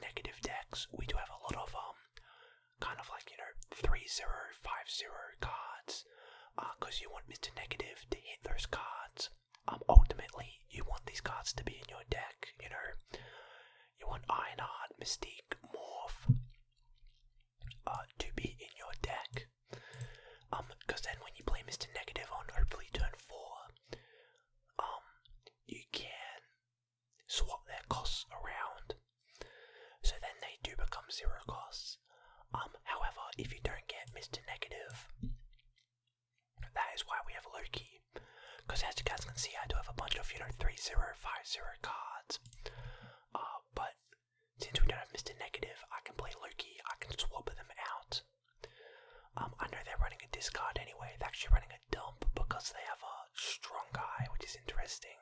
negative decks, we do have a lot of um kind of like you know three zero five zero cards, because uh, you want Mr. Negative to hit those cards. Um, ultimately, you want these cards to be in your deck. You know, you want Ironheart, Mystique, Morph uh, to be in your deck. Um, because then when you play Mr. Negative on hopefully turn four, um, you can swap their costs around. So then they do become zero costs. Um, however, if you don't get Mr. Negative, that is why we have Loki. Because as you guys can see, I do have a bunch of, you know, three zero five zero cards. Uh, but since we don't have Mr. Negative, I can play Loki, I can swap them out. Um, I know they're running a discard anyway. They're actually running a dump because they have a strong guy, which is interesting.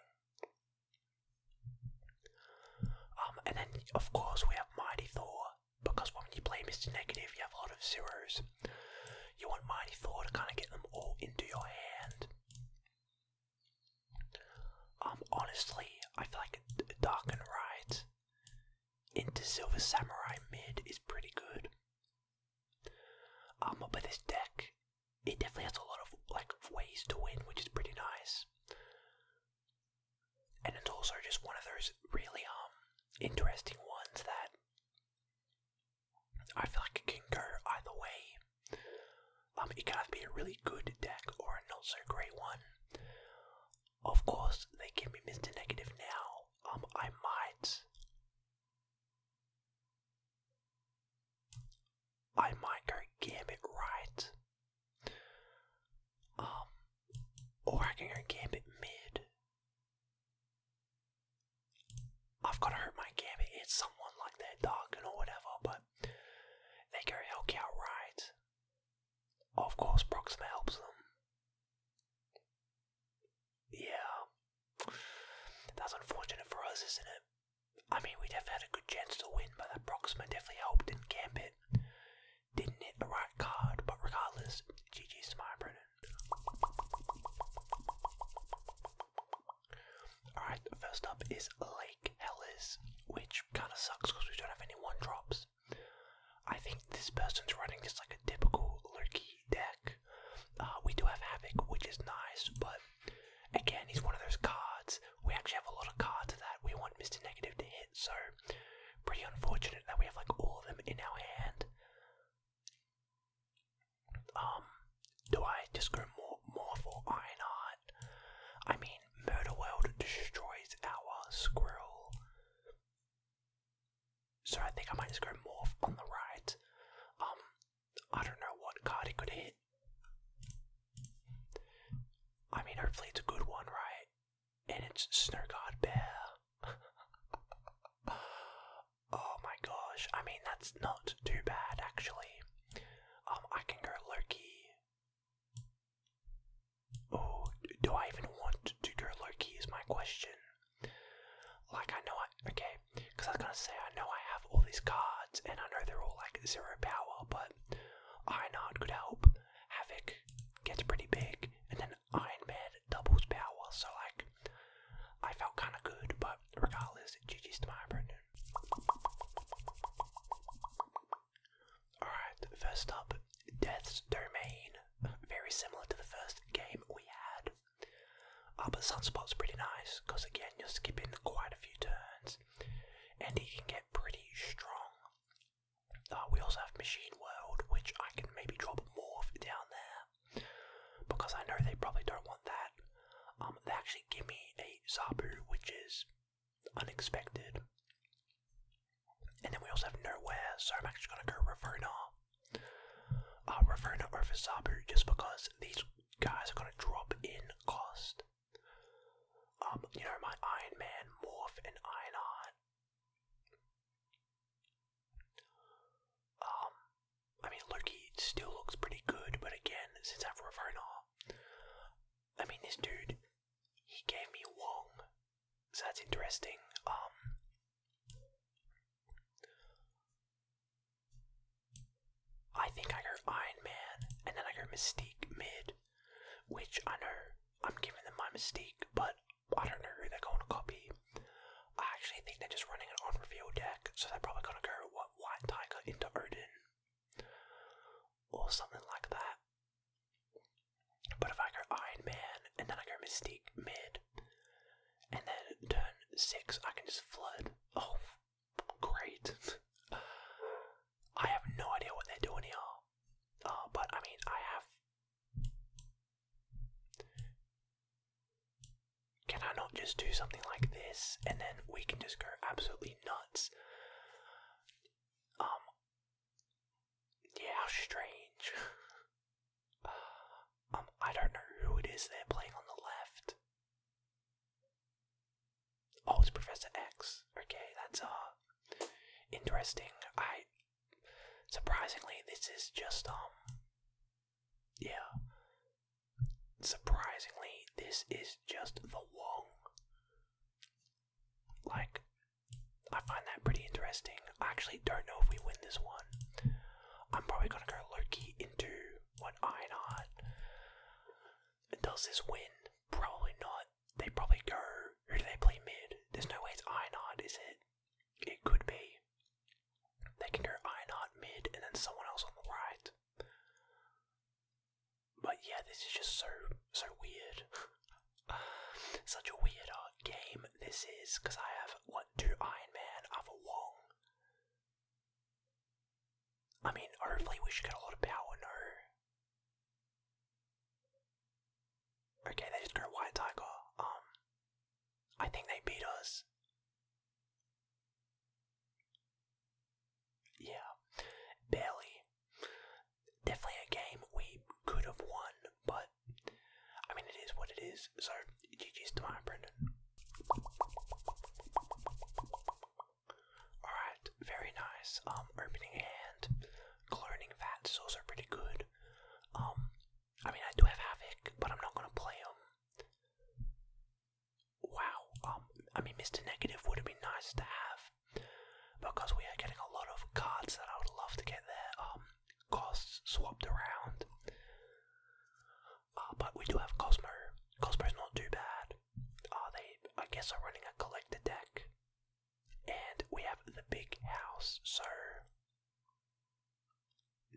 Um, and then, of course, we have Mighty Thor because when you play Mr. Negative, you have a lot of zeros. You want Mighty Thor to kind of get them all into your hand. Um, honestly, I feel like Dark and Right into Silver Samurai mid is pretty good. Um, but this deck, it definitely has a lot of like ways to win, which is pretty nice. And it's also just one of those really um interesting ones that I feel like it can go either way. Um, it can be a really good deck or a not so great one. Of course, they give me Mr. Negative now. Um, I might I might go Gambit right. Um, or I can go Gambit mid. I've got to hope my Gambit hits someone like they're or whatever, but they go Hellcow right. Of course, Proxima helps them. Yeah. That's unfortunate for us, isn't it? I mean, we definitely had a good chance to win, but that Proxima definitely helped camp it, Didn't hit the right card, but regardless, GG's to my Brennan. Alright, first up is Lake Hellas, which kind of sucks because we don't have any one drops. I think this person's running just like a typical lurky deck. Uh, we do have Havoc, which is nice, but again, he's one of those cards. We actually have a lot of cards that we want Mr. Negative to hit, so pretty unfortunate that we have like all of them in our hand. Um, do I just go more more for Ironheart? I mean, Murder World destroys our Squirrel. So I think I might just go morph on the right. Um, I don't know what card it could hit. I mean, hopefully it's a good one, right? And it's Snow Guard Bear. oh my gosh! I mean, that's not too bad actually. Um, I can go Loki. Oh, do I even want to go Loki? Is my question. Like, I know I. Okay, because I was gonna say, I know I have all these cards, and I know they're all like zero power, but Ironheart could help. Havoc gets pretty big, and then Iron Man doubles power, so like, I felt kinda good, but regardless, GG's to my Brendan. Alright, first up, Death's Domain very similar to the first game we had. Uh, but Sunspot's pretty nice because, again, you're skipping quite a few turns and he can get pretty strong. Uh, we also have Machine World, which I can maybe drop Morph down there because I know they probably don't want that. Um, they actually give me a Zabu, which is unexpected. And then we also have Nowhere, so I'm actually going to go Ravona I'm referring to Abu just because these guys are going to drop in cost. Um, you know, my Iron Man, Morph, and Ironheart. Um, I mean, Loki still looks pretty good, but again, since I've referred to, I mean, this dude, he gave me Wong, so that's interesting. Um, I think I heard Iron Man, and then I heard Mystique mid, which I know I'm giving them my Mystique, but I don't know who they're going to copy. I actually think they're just running an on-reveal deck, so they're probably going to go White Tiger into Odin, or something like that. But if I go Iron Man and then I go Mystique mid, and then turn six, I can just flood. Oh, great. I have no idea what they're doing here. Uh, but I mean, I have. Can I not just do something like this and then we can just go absolutely nuts? Um. Yeah, strange. Um, I don't know who it is they're playing on the left. Oh, it's Professor X. Okay, that's uh interesting. I surprisingly this is just um yeah. Surprisingly, this is just the Wong. Like I find that pretty interesting. I actually don't know if we win this one. I'm probably gonna go Loki into what one Ironheart. Does this win? Probably not. They probably go. Who do they play mid? There's no way it's Ironheart, is it? It could be. They can go Ironheart mid and then someone else on the right. But yeah, this is just so so weird. Such a weird uh, game this is, because I have, what, two Iron Man, I have a Wong. I mean, hopefully we should get a lot of power, no. Okay, they just go White Tiger. Um, I think they beat us. Yeah, barely. Definitely a game we could have won, but I mean, it is what it is. So, GG's to my Brendan. Alright, very nice. Um, opening hand, cloning that is also pretty good. Um, I mean, I do have Havoc, but I'm not gonna play him. Wow, um, I mean, Mr. Negative would have been nice to have because we are getting a lot of cards that I would love to get there. Um, costs swapped around. Uh, but we do have Cosmo. Cosmo is not too bad. Uh, they, I guess, are running a collector deck. And we have the big house, so.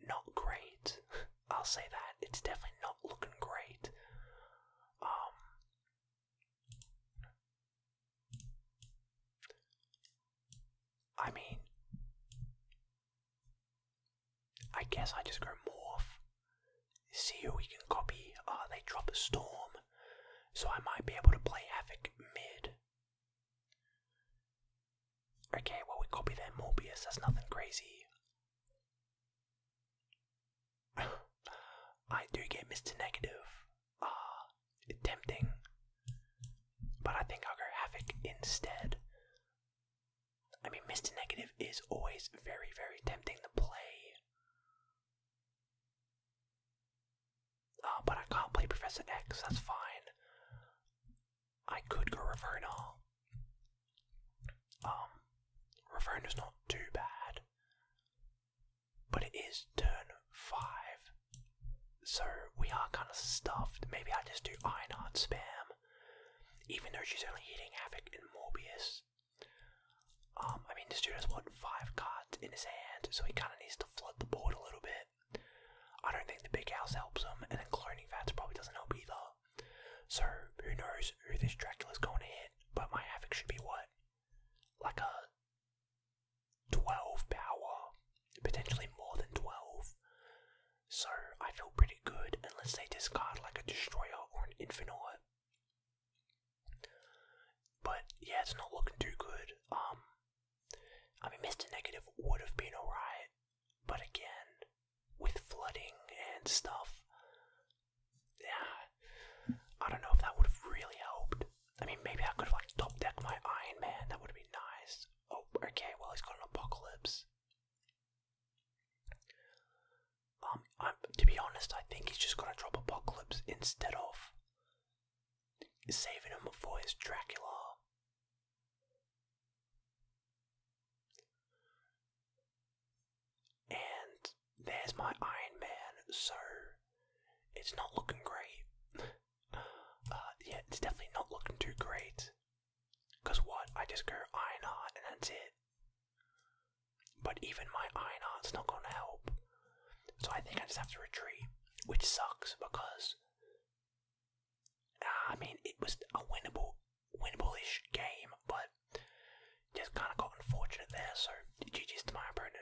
Not great. I'll say that. It's definitely not looking great. Um. I mean, I guess I just go morph, see who we can copy. Uh, they drop a storm, so I might be able to play Havoc mid. Okay, well, we copy their Morbius, that's nothing crazy. I do get Mr. Negative uh, tempting. But I think I'll go Havoc instead. I mean, Mr. Negative is always very, very tempting to play. Uh, but I can't play Professor X, that's fine. I could go Ravona. Um, Ravona's not too bad. But it is turn five. So we are kind of stuffed. Maybe I just do Ironheart spam. Even though she's only hitting Havoc and Morbius. Um, I mean, this dude has, what, five cards in his hand, so he kind of needs to flood the board a little bit. I don't think the big house helps him, and then cloning Vats probably doesn't help either. So, who knows who this Dracula's going to hit, but my Havoc should be what? Like a 12 power, potentially more than 12. So I feel pretty good unless they discard like a destroyer or an infinite. But yeah, it's not looking too good. Um, I mean, Mr. Negative would have been alright, but again, with flooding and stuff, yeah, I don't know if that would have really helped. I mean, maybe I could like top deck my Iron Man. That would be nice. Oh, okay. Well, he's got an apocalypse. Um, I'm, to be honest, I think he's just gonna drop apocalypse instead of saving him for his Dracula. And there's my Iron Man. So it's not looking great. Uh, yeah, it's definitely not looking too great. Cause what? I just go iron art and that's it. But even my iron art's not gonna help. So I think I just have to retreat, which sucks because I mean it was a winnable, winnable-ish game, but just kind of got unfortunate there. So GG's to my opponent.